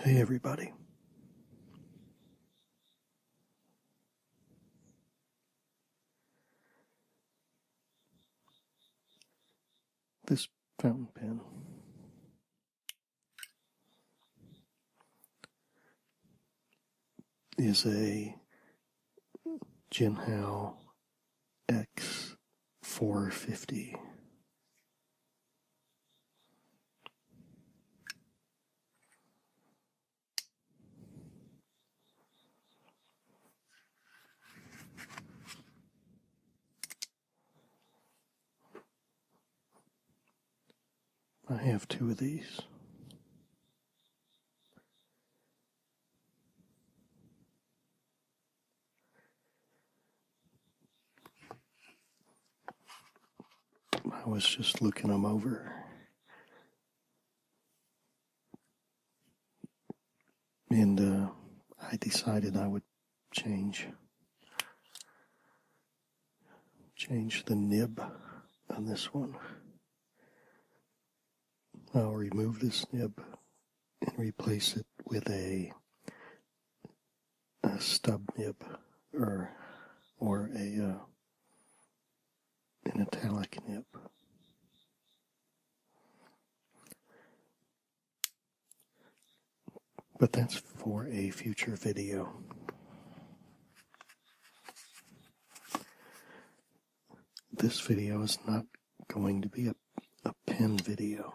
Hey, everybody. This fountain pen is a Jinhao X450. I have two of these. I was just looking them over. And uh, I decided I would change change the nib on this one. I'll remove this nib and replace it with a a stub nib or or a uh, an italic nib. But that's for a future video. This video is not going to be a, a pen video.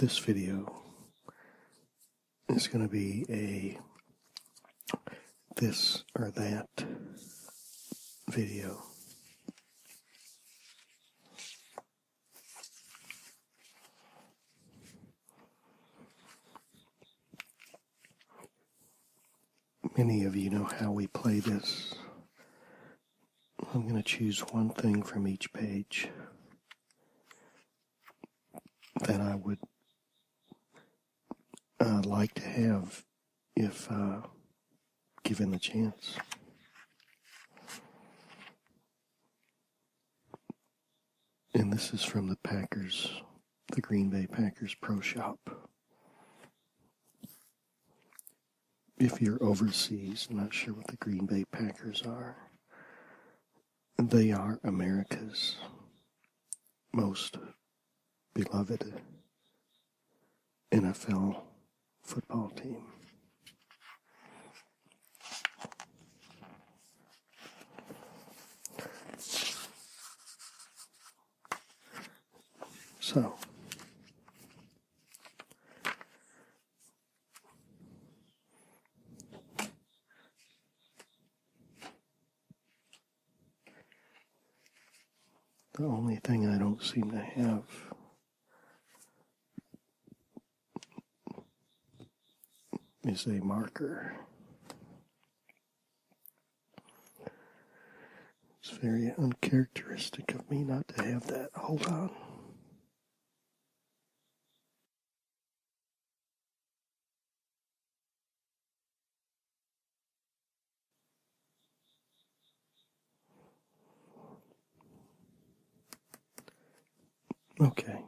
this video it's going to be a this or that video. Many of you know how we play this. I'm going to choose one thing from each page that I would uh, like to have if uh, given the chance. And this is from the Packers, the Green Bay Packers Pro Shop. If you're overseas, not sure what the Green Bay Packers are. They are America's most beloved NFL football team. So, the only thing I don't seem to have is a marker. It's very uncharacteristic of me not to have that. Hold on. Okay,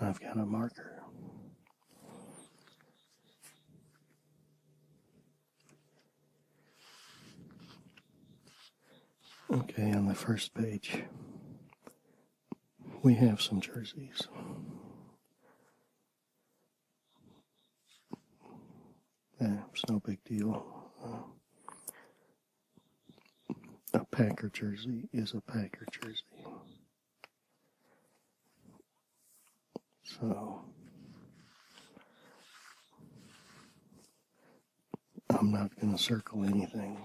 I've got a marker. Okay, on the first page, we have some jerseys. it's no big deal. a Packer jersey is a Packer jersey. So, I'm not going to circle anything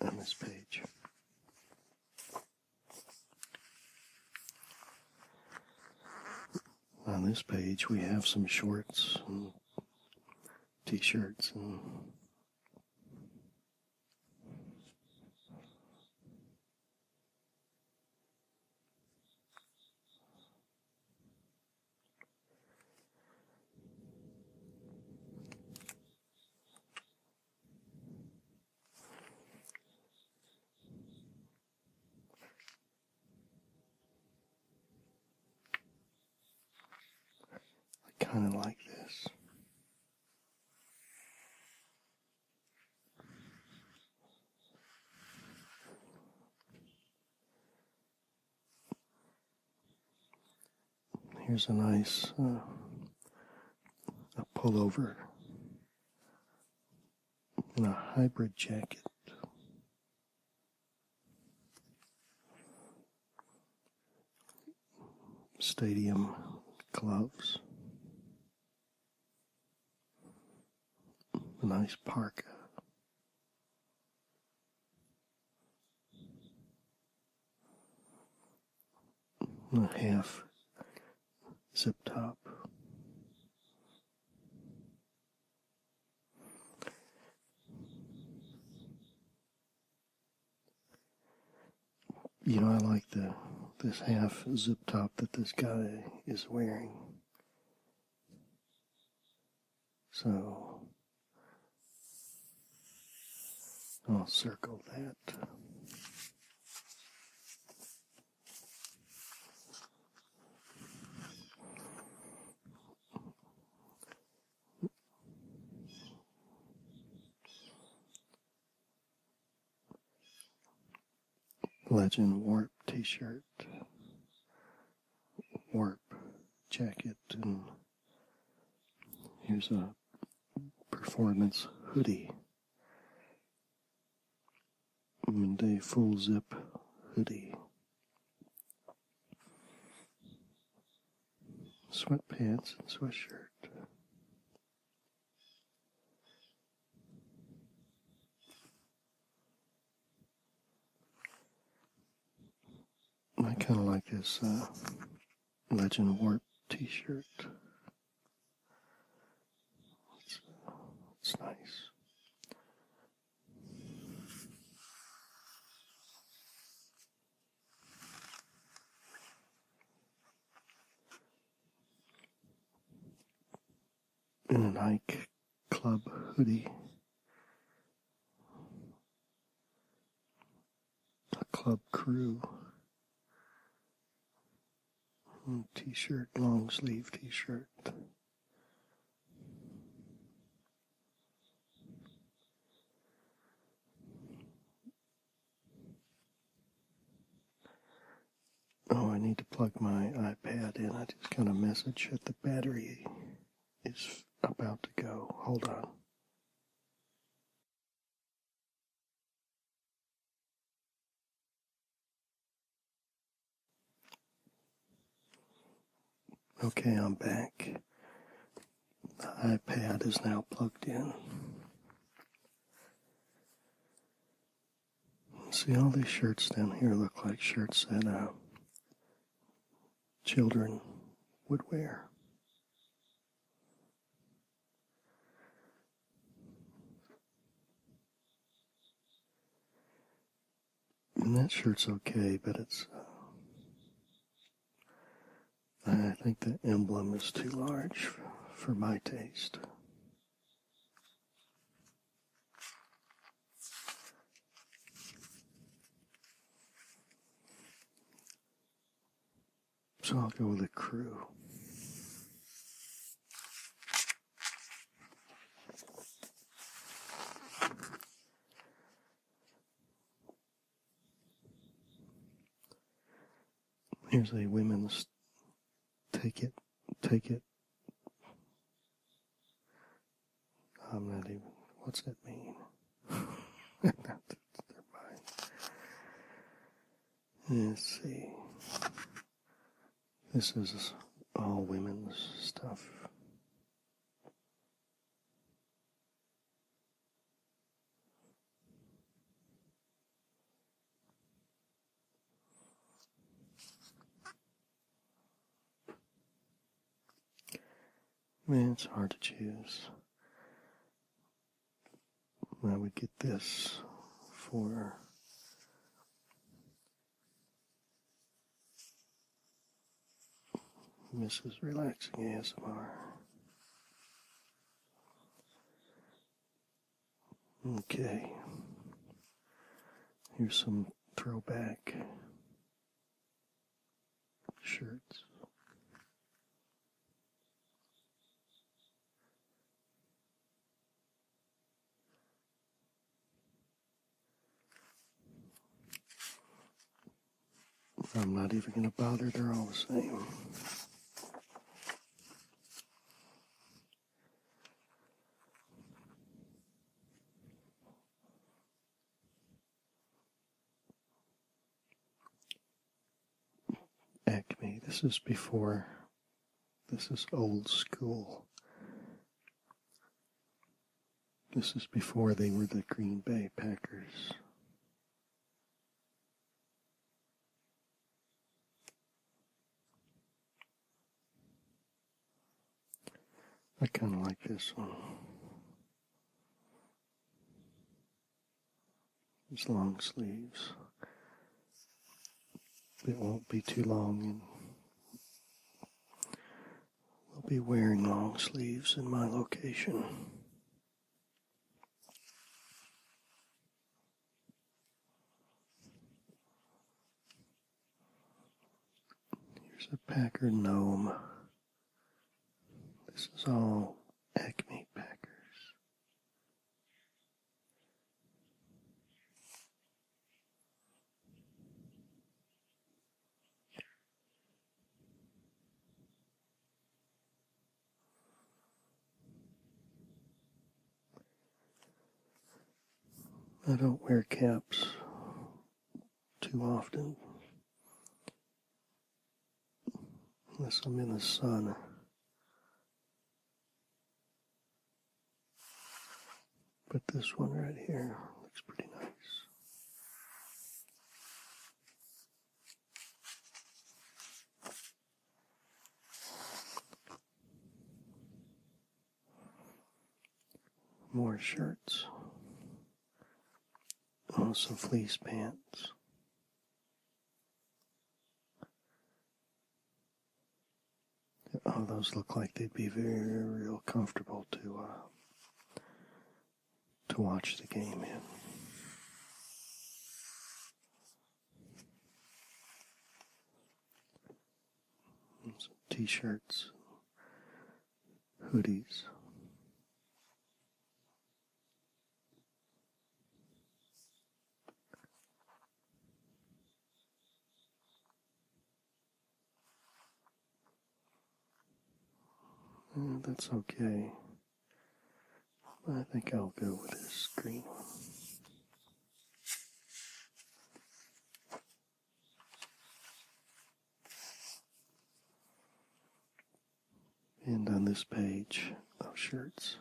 on this page. On this page, we have some shorts and t shirts and I kind of like this. Here's a nice uh, a pullover and a hybrid jacket. Stadium gloves. A nice parka a half zip top. You know, I like the this half zip top that this guy is wearing. So I'll circle that. Legend Warp t shirt, Warp jacket, and Here's a performance hoodie. Monday full zip hoodie. Sweatpants and sweatshirt. I kind uh, of like this Legend Warp t-shirt. It's, it's nice. In an Ike Club hoodie the club crew. Hmm, t shirt, long sleeve t shirt. Oh, I need to plug my iPad in. I just got a message that the battery is about to go. Hold on. Okay, I'm back. The iPad is now plugged in. See, all these shirts down here look like shirts that uh, children would wear. And that shirt's okay, but it's. Uh, I think the emblem is too large for my taste. So I'll go with a crew. Here's a women's take it, take it. I'm not even, what's that mean? Let's see. This is all women's stuff. Man, it's hard to choose. I would get this for Mrs. Relaxing ASMR. Okay. Here's some throwback shirts. I'm not even going to bother, they're all the same. Acme. This is before, this is old school. This is before they were the Green Bay Packers. I kind of like this one these long sleeves. It won't be too long and we'll be wearing long sleeves in my location. Here's a Packer gnome. This is all Acme Packers. I don't wear caps too often. Unless I'm in the sun. But this one right here looks pretty nice. More shirts. Oh, some fleece pants. Oh, those look like they'd be very real comfortable to uh, to watch the game in. Some t-shirts, hoodies that's okay. I think I'll go with this green and on this page of shirts.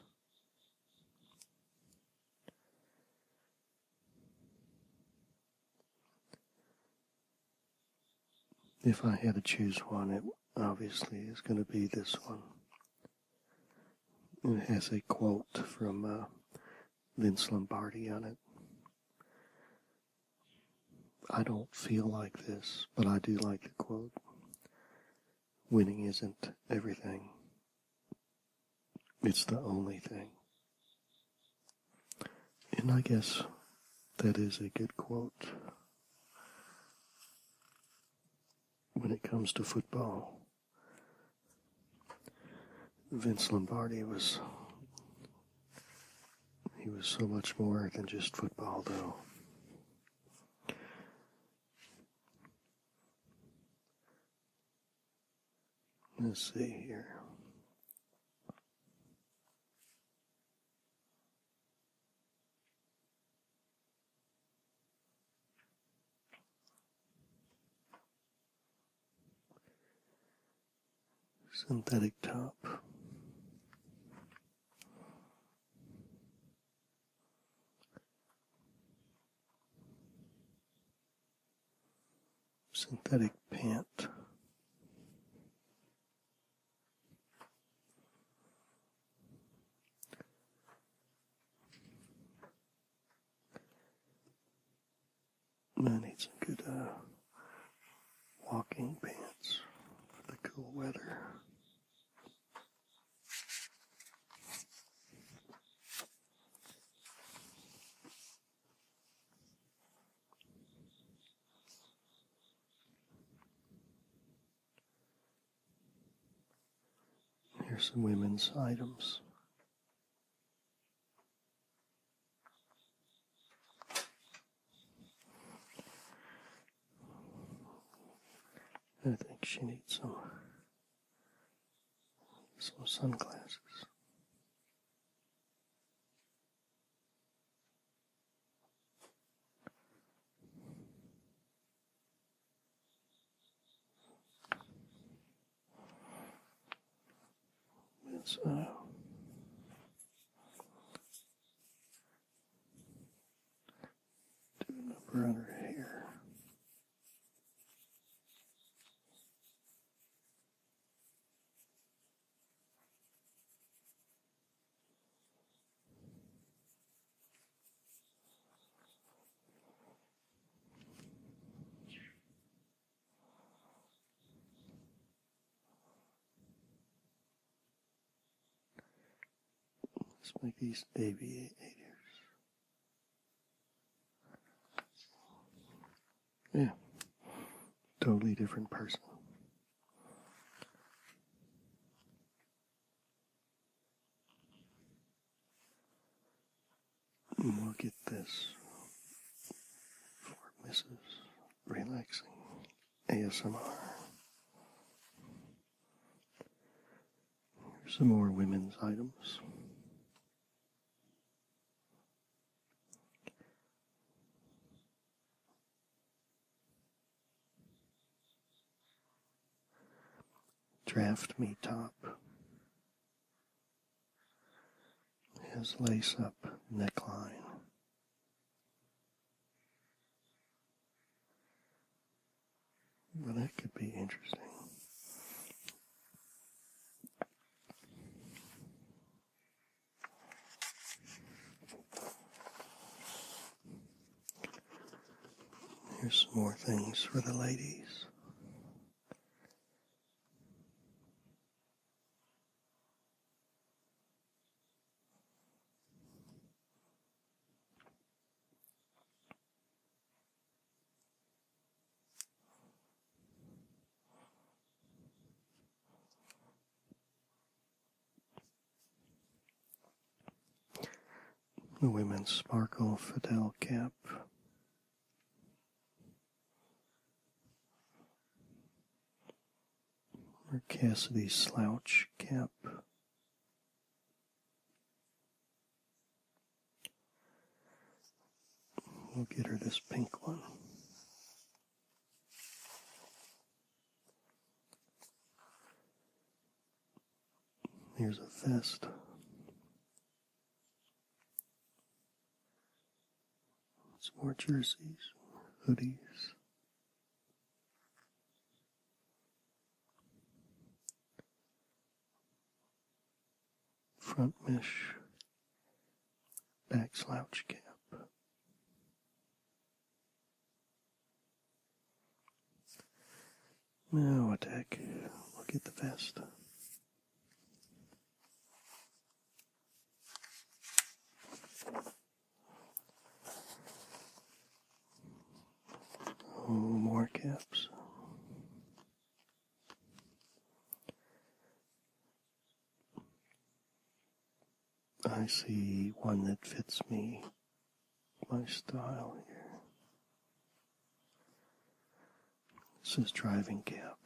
If I had to choose one, it obviously is going to be this one. It has a quote from uh, Vince Lombardi on it. I don't feel like this, but I do like the quote winning isn't everything, it's the only thing. And I guess that is a good quote when it comes to football. Vince Lombardi was he was so much more than just football though. Let's see here. Synthetic top synthetic pant. I need some good uh, walking pants for the cool weather. Here's some women's items. I think she needs some some sunglasses. It's uh, do it over under here. Let's make these baby Yeah. Totally different person. Look at this for Mrs. Relaxing. ASMR. some more women's items. Draft me top His lace up neckline well, that could be interesting. Here's some more things for the ladies. The women sparkle Fidel cap. Her Cassidy slouch cap. We'll get her this pink one. Here's a vest. Some more jerseys, hoodies front mesh, back slouch cap, now attack, look at the vest more caps. I see one that fits me, my style here. This is driving cap.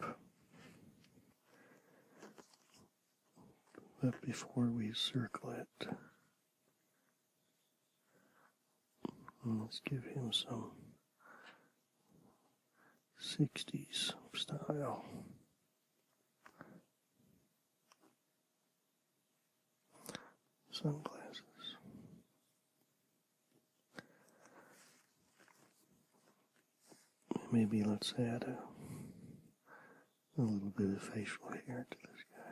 But before we circle it, let's give him some 60s style. Sunglasses. Maybe let's add a a little bit of facial hair to this guy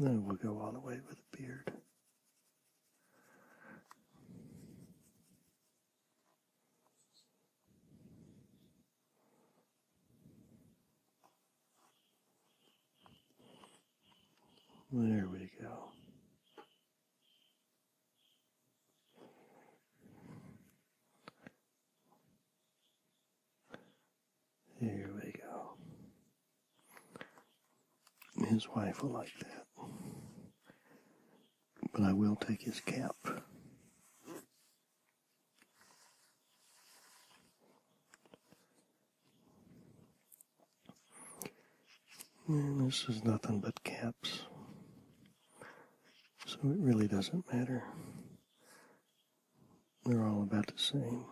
Then we'll go all the way with a beard. There we go. Here we go. His wife will like that. But I will take his cap. Mm, this is nothing but caps. So it really doesn't matter. They're all about the same.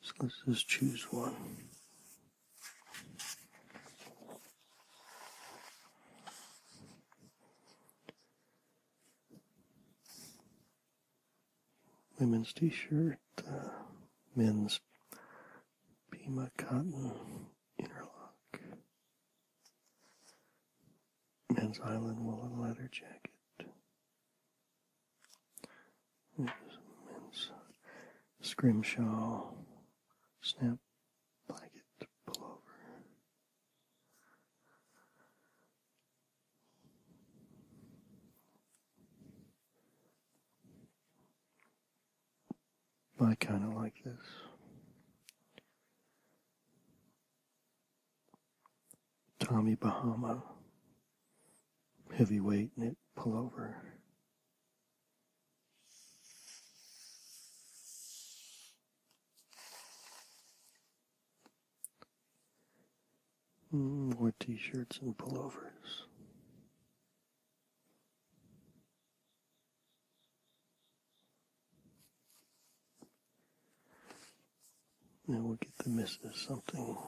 So let's just choose one women's t-shirt, uh, men's Pima cotton interlock, men's island woolen leather jacket, men's scrimshaw snap blanket pullover. I kind of like this. Tommy Bahama, heavyweight knit pullover. Mm, more t shirts and pullovers. Now we'll get the missus something.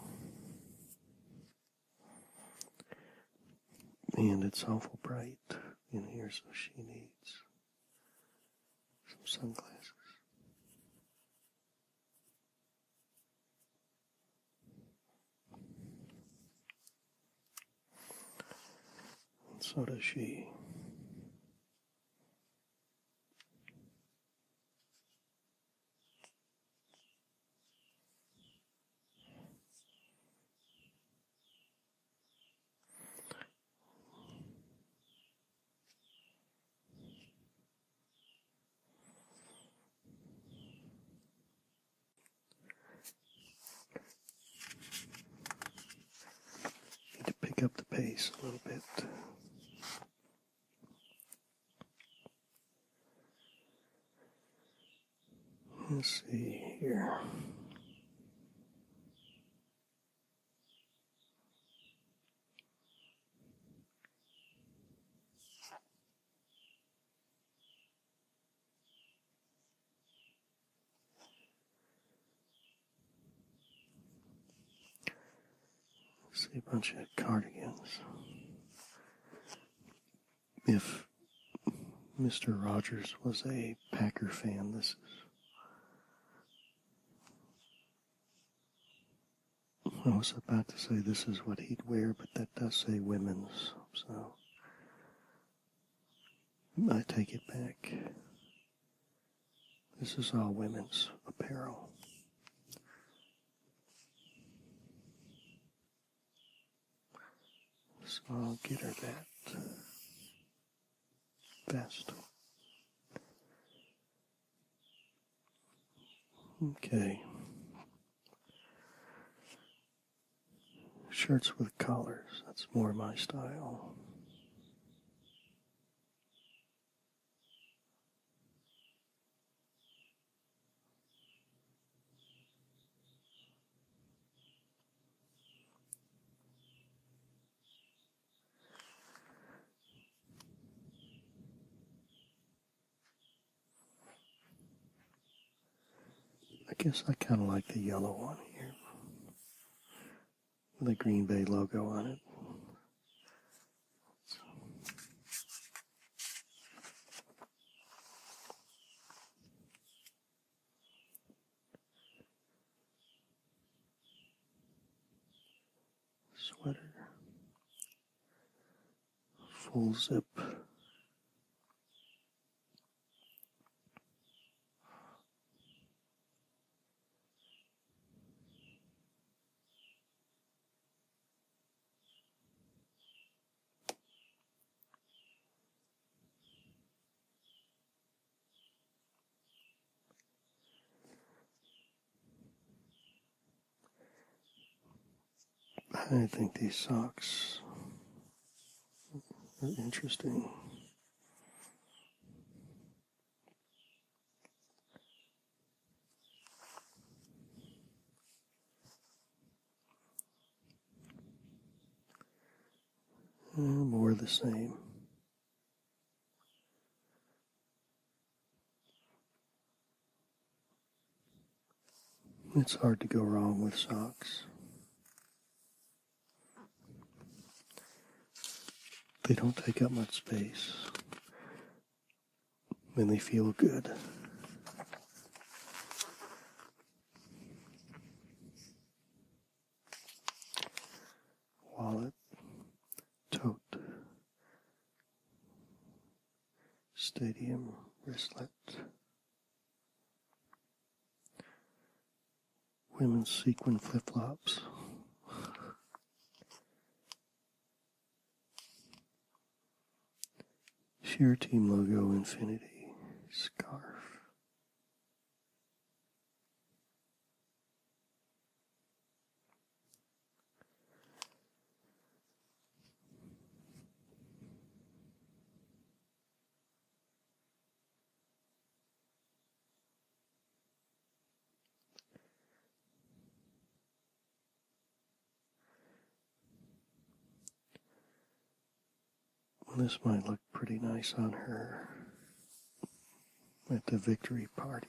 And it's awful bright in here, so she needs some sunglasses. And so does she. Need to pick up the pace a little bit. Let's see here. See a bunch of cardigans. If Mr. Rogers was a Packer fan, this is I was about to say this is what he'd wear, but that does say women's, so I take it back. This is all women's apparel. So I'll get her that uh, vest. Okay. Shirts with collars, that's more my style. I guess I kind of like the yellow one here with a Green Bay logo on it sweater, full zip. I think these socks are interesting. more the same. It's hard to go wrong with socks. They don't take up much space and they feel good. Wallet tote, stadium wristlet, women's sequin flip flops. Sheer Team logo infinity scarf. This might look pretty nice on her at the victory parties.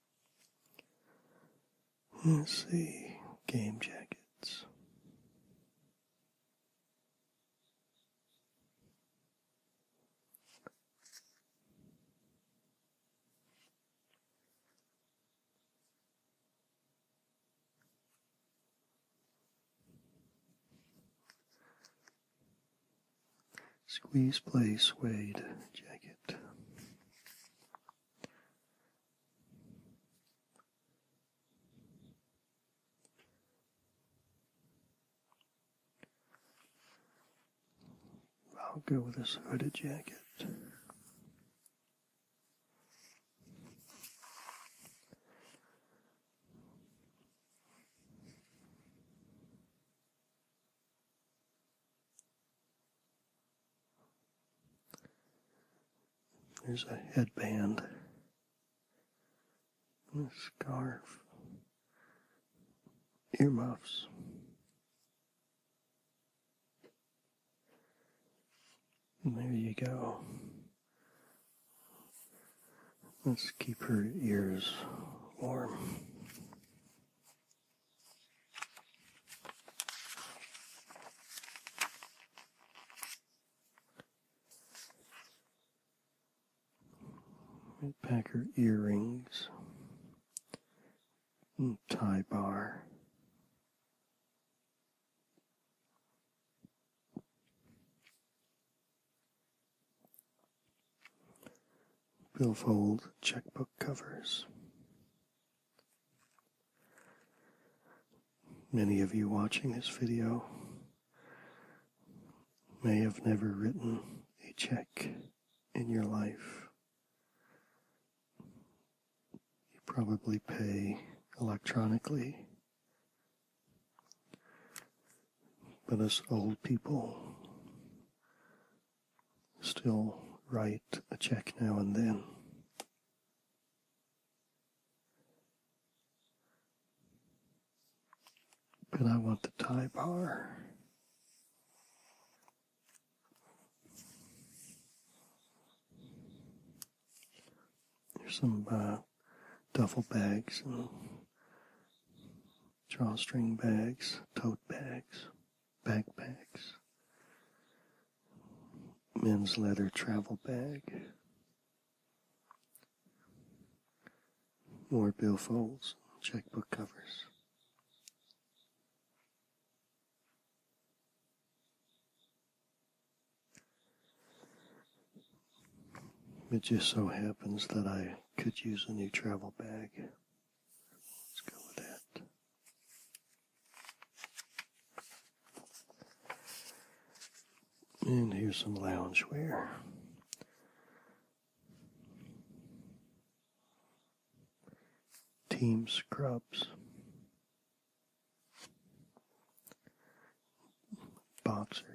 Let's see, game jackets. Squeeze play suede jacket. I'll go with this hooded jacket. There's a headband, a scarf, earmuffs. And there you go. Let's keep her ears warm. Packer earrings, mm, tie bar. Billfold checkbook covers. Many of you watching this video may have never written a check in your life. You probably pay electronically. But as old people still write a check now and then. But I want the tie bar. There's some uh, duffel bags and drawstring bags, tote bags, backpacks, men's leather travel bag, more bill folds, checkbook covers. It just so happens that I could use a new travel bag. Let's go with that. And here's some loungewear. Team scrubs. Boxers.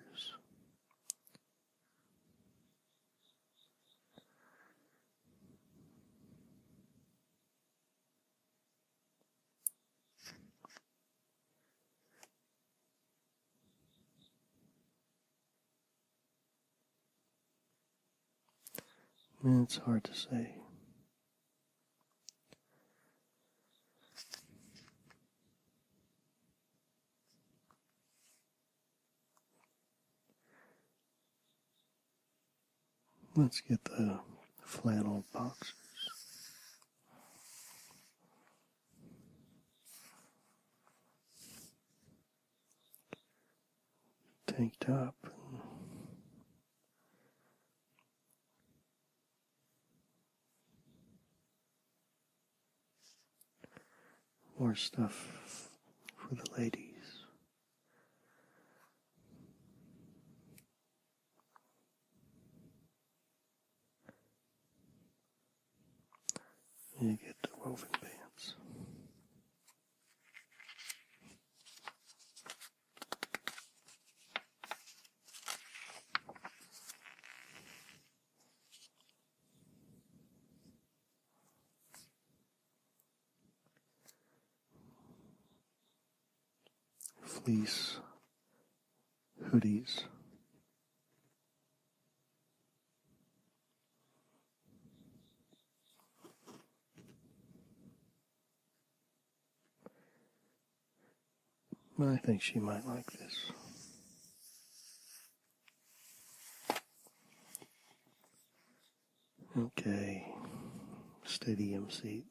It's hard to say. Let's get the flannel boxers, Tank top. More stuff for the ladies. You get the woven pants fleece hoodies. I think she might like this. Okay, stadium seat.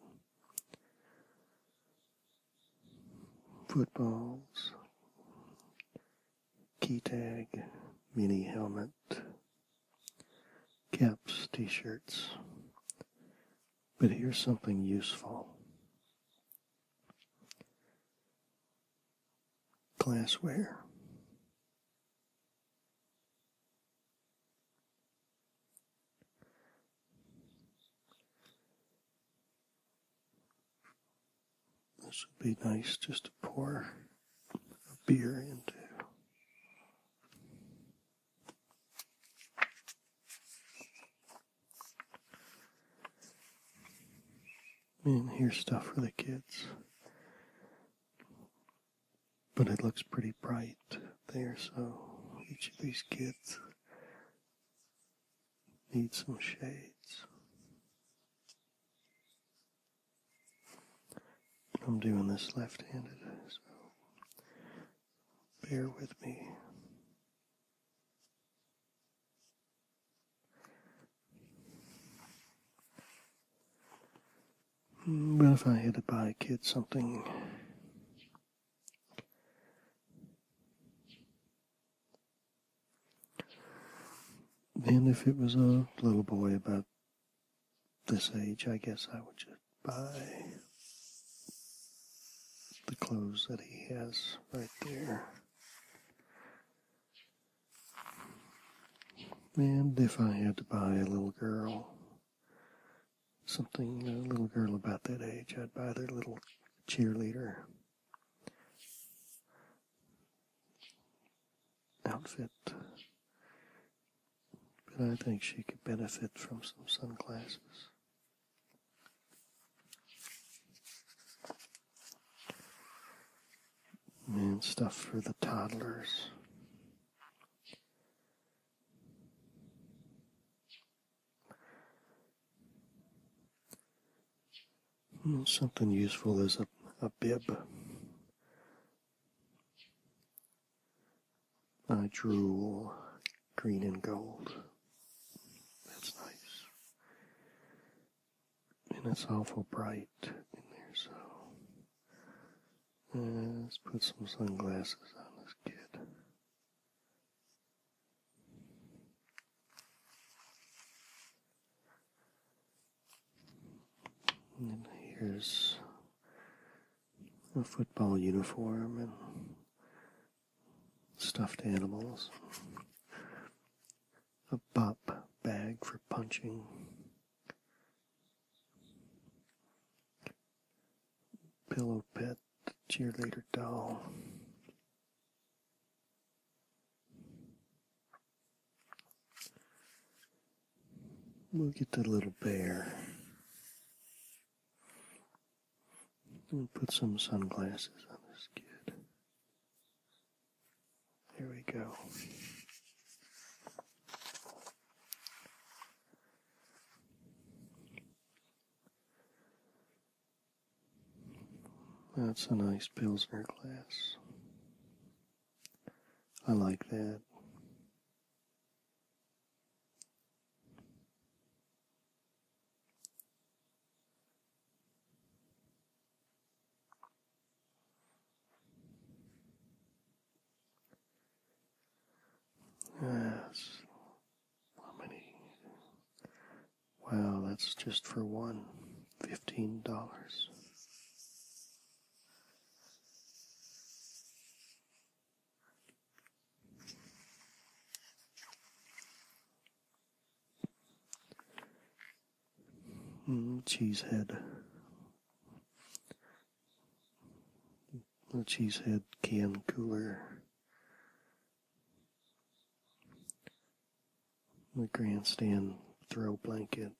Footballs, key tag, mini helmet, caps, t shirts. But here's something useful glassware. This would be nice just to pour a beer into and here's stuff for the kids. But it looks pretty bright there, so each of these kids needs some shades. I'm doing this left-handed, so bear with me. Well, if I had to buy a kid something? Then, if it was a little boy about this age, I guess I would just buy the clothes that he has right there. And if I had to buy a little girl something, a little girl about that age, I'd buy their little cheerleader outfit. But I think she could benefit from some sunglasses and stuff for the toddlers. Hmm, something useful is a, a bib. A drool, green and gold. That's nice and it's awful bright in there, so uh, let's put some sunglasses on this kid. And here's a football uniform and stuffed animals, a bop bag for punching. Pillow pet cheerleader doll. We'll get the little bear. We'll put some sunglasses on this kid. There we go. That's a nice Pilsner glass. I like that. Yes. How many? Wow, that's just for one. Fifteen dollars. Mm, cheesehead. The Cheesehead can cooler. The grandstand throw blanket.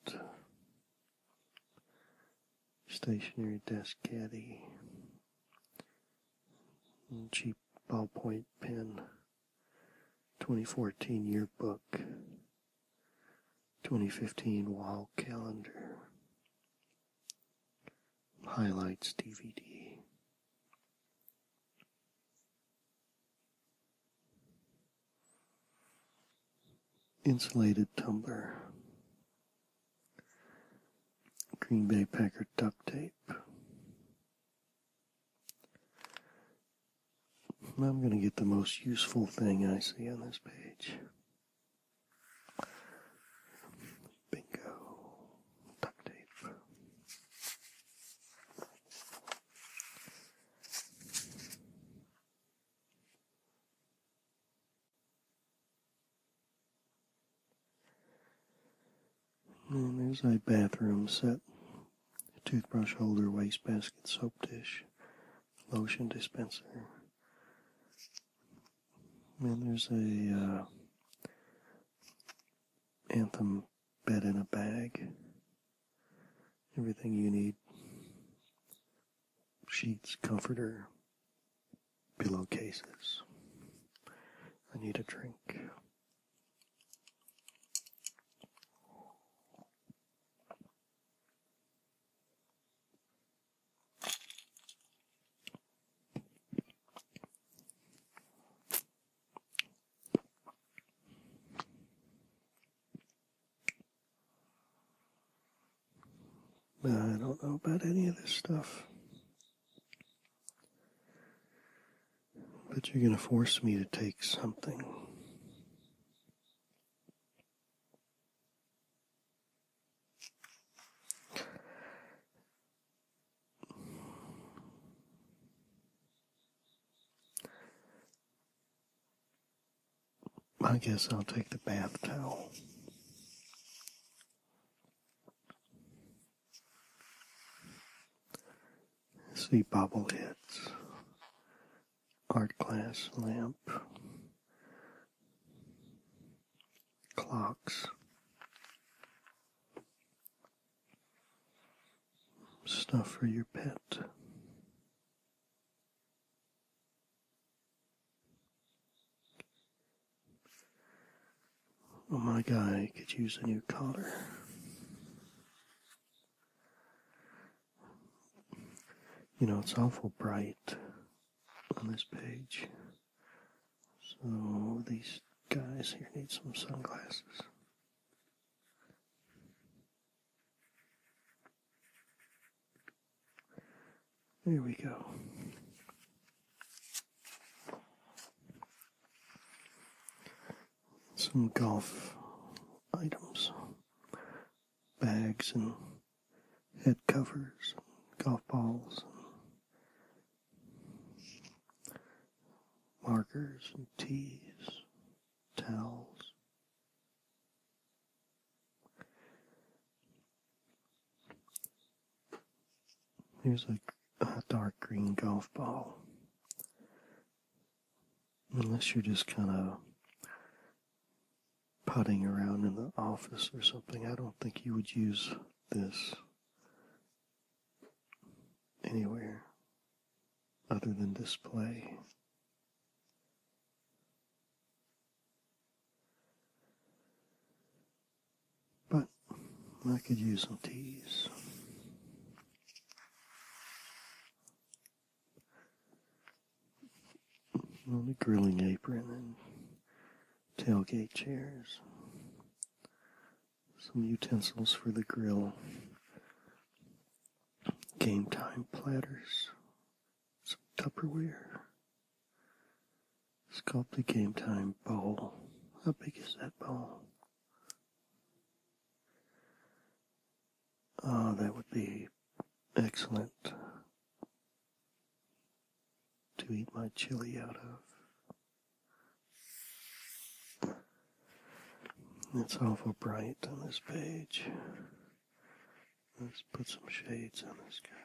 Stationary desk caddy. Cheap ballpoint pen. 2014 yearbook, 2015 wall calendar, highlights DVD. Insulated tumbler, Green Bay Packer duct tape, I'm going to get the most useful thing I see on this page. Bingo. Duct tape. And there's a bathroom set toothbrush holder, wastebasket, soap dish, lotion dispenser. And there's a uh, Anthem bed in a bag. Everything you need. Sheets, comforter, pillowcases. I need a drink. I don't know about any of this stuff. But you're going to force me to take something. I guess I'll take the bath towel. See bobbleheads art glass lamp, clocks, stuff for your pet. Oh, my guy could use a new collar you know, it's awful bright on this page. So these guys here need some sunglasses. There we go some golf items, bags and head covers, golf balls, markers and tees, towels. Here's a, a dark green golf ball. Unless you're just kind of putting around in the office or something, I don't think you would use this anywhere other than display. But I could use some teas on a grilling apron and tailgate chairs. Some utensils for the grill. Game time platters. Some Tupperware. Sculpted game time bowl. How big is that bowl? Ah, that would be excellent to eat my chili out of. It's awful bright on this page. Let's put some shades on this guy.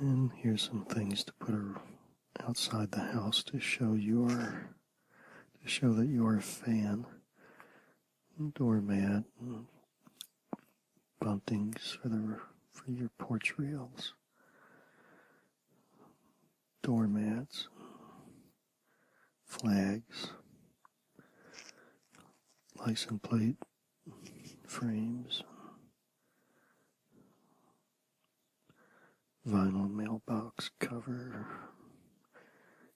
And here's some things to put outside the house to show your to show that you're a fan. Doormat and buntings for the for your porch rails doormats, flags, license plate frames, vinyl mailbox cover.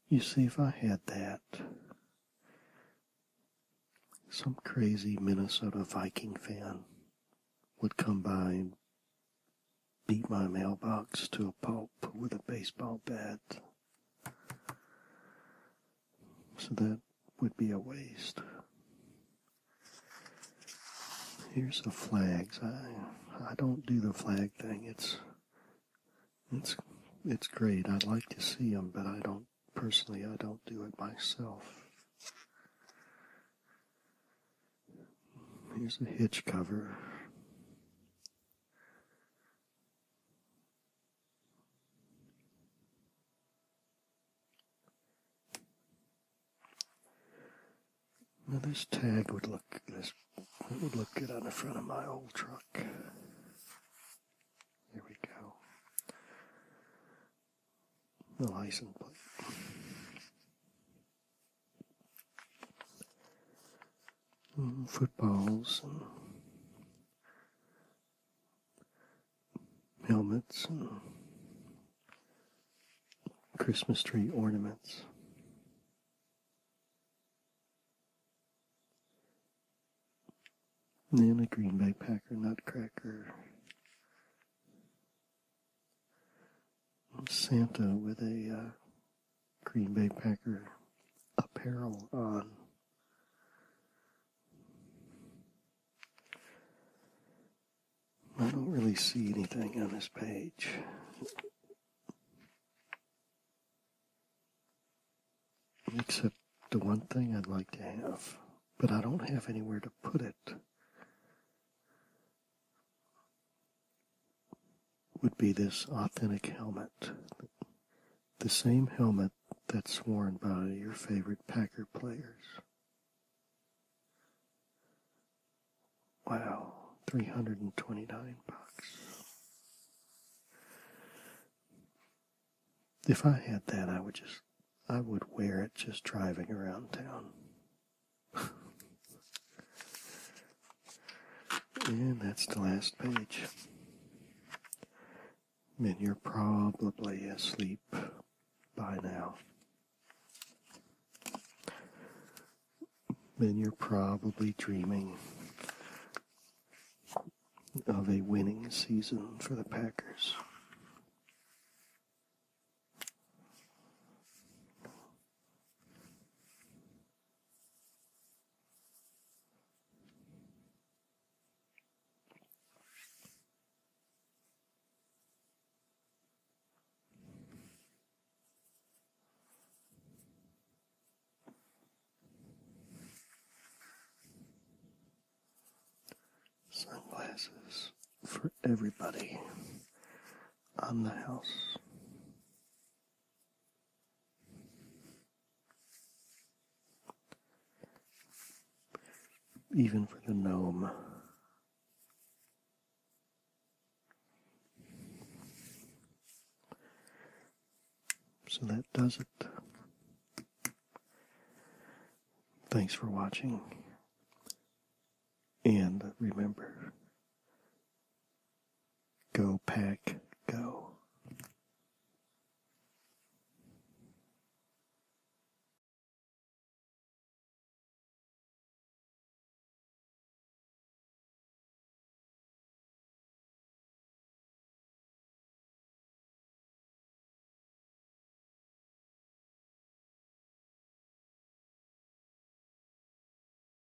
You see, if I had that, some crazy Minnesota Viking fan would come by and beat my mailbox to a pulp with a baseball bat. So that would be a waste. Here's the flags. I I don't do the flag thing. It's it's it's great. I'd like to see them, but I don't personally. I don't do it myself. Here's a hitch cover. Now this tag would look this would look good on the front of my old truck. Here we go. The license plate. Mm, footballs helmets Christmas tree ornaments. And then a Green Bay Packer nutcracker. Santa with a uh, Green Bay Packer apparel on. I don't really see anything on this page. Except the one thing I'd like to have, but I don't have anywhere to put it would be this authentic helmet. The same helmet that's worn by your favorite Packer players. Wow, 329 bucks. If I had that, I would just I would wear it just driving around town. And that's the last page. Then you're probably asleep by now. Then you're probably dreaming of a winning season for the Packers. Sunglasses for everybody on the house. Even for the gnome. So that does it. Thanks for watching. And remember, Go, pack, go.